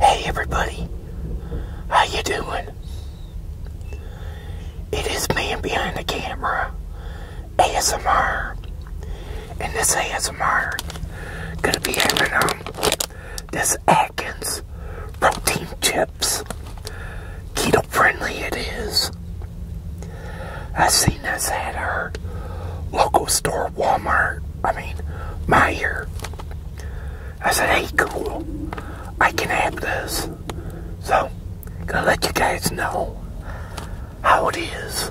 Hey everybody, how you doing? It is man behind the camera, ASMR, and this ASMR gonna be having um this Atkins protein chips, keto friendly it is. I seen this at our local store Walmart, I mean, Meyer. I said, hey, cool, I can have this. So, gonna let you guys know how it is.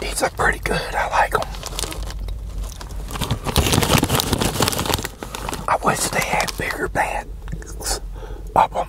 These look pretty good. I like them. I wish they had bigger bags of them.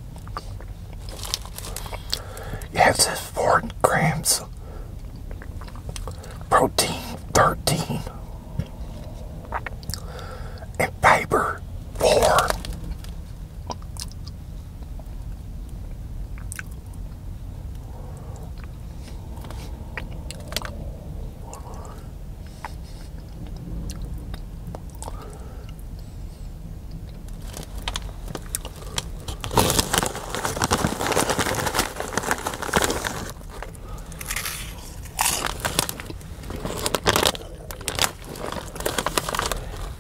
it says four grams protein, 13, and fiber, four.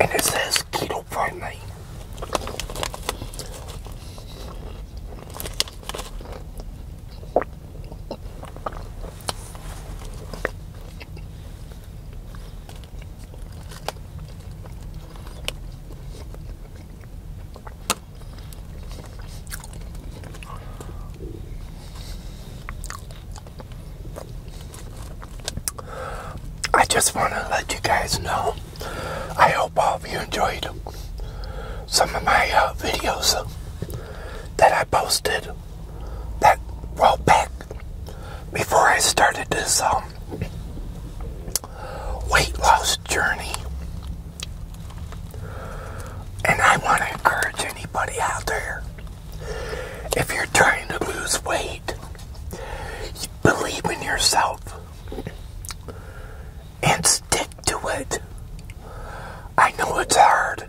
And it says keto friendly. I just want to let you guys know. I hope all of you enjoyed some of my uh, videos that I posted that well back before I started this uh, weight loss journey. And I want to encourage anybody out there if you're trying to lose weight, believe in yourself and stick to it. I know it's hard,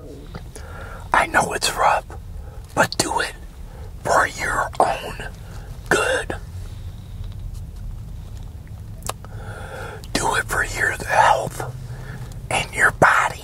I know it's rough, but do it for your own good. Do it for your health and your body.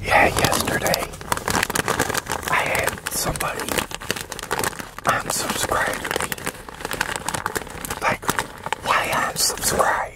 Yeah, yesterday I had somebody unsubscribe me. Like why unsubscribe?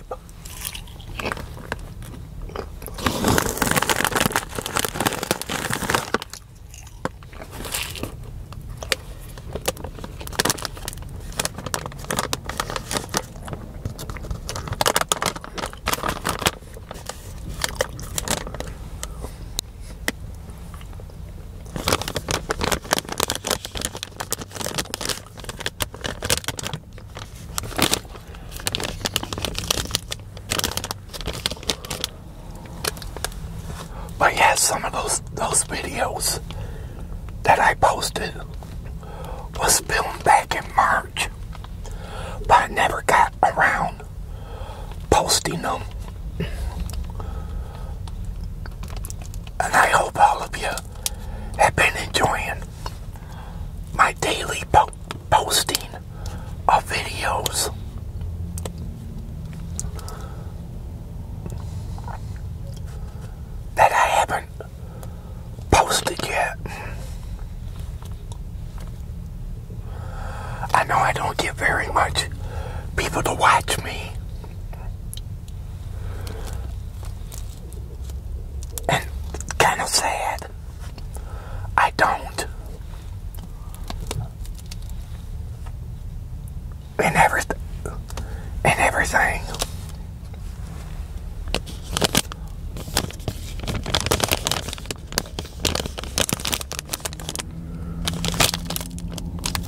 But yeah, some of those those videos that I posted was filmed back in March, but I never got around posting them. And I hope all of you have been enjoying my daily po posting of videos. That I haven't posted yet. I know I don't get very much people to watch me. And kind of sad. I don't. And everything. And everything.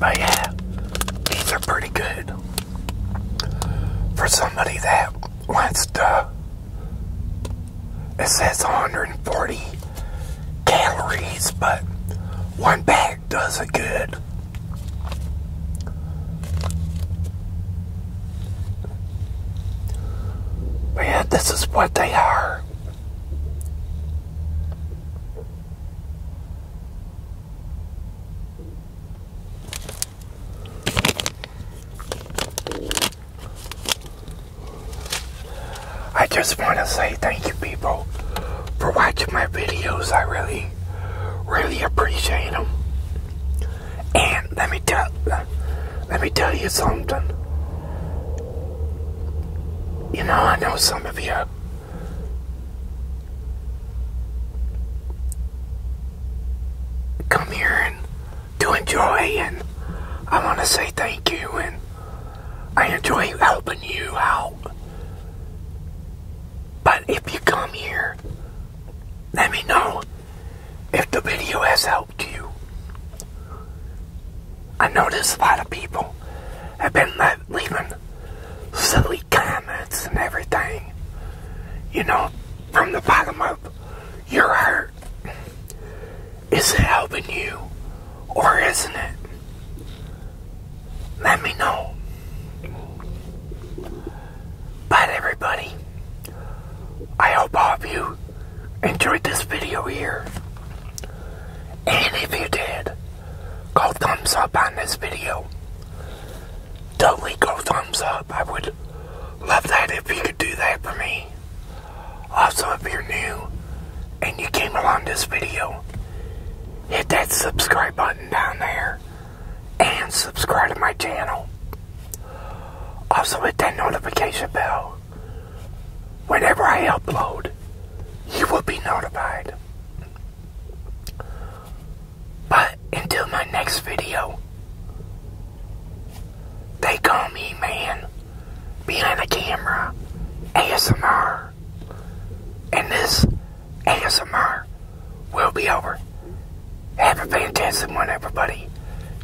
But yeah, these are pretty good for somebody that wants to. It says 140 calories, but one bag does it good. But yeah, this is what they are. I just want to say thank you people for watching my videos. I really, really appreciate them. And let me tell, let me tell you something. You know, I know some of you come here and to enjoy and I want to say thank you and I enjoy helping you out. But if you come here, let me know if the video has helped you. I know there's a lot of people have been leaving silly comments and everything, you know, from the bottom of your heart. Is it helping you or isn't it? Let me know. But everybody, I hope all of you enjoyed this video here. And if you did, go thumbs up on this video. Totally go thumbs up. I would love that if you could do that for me. Also, if you're new and you came along this video, hit that subscribe button down there and subscribe to my channel. Also, hit that notification bell. Whenever I upload, you will be notified. But until my next video, they call me man behind the camera ASMR. And this ASMR will be over. Have a fantastic one, everybody.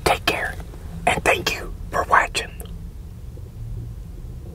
Take care, and thank you for watching.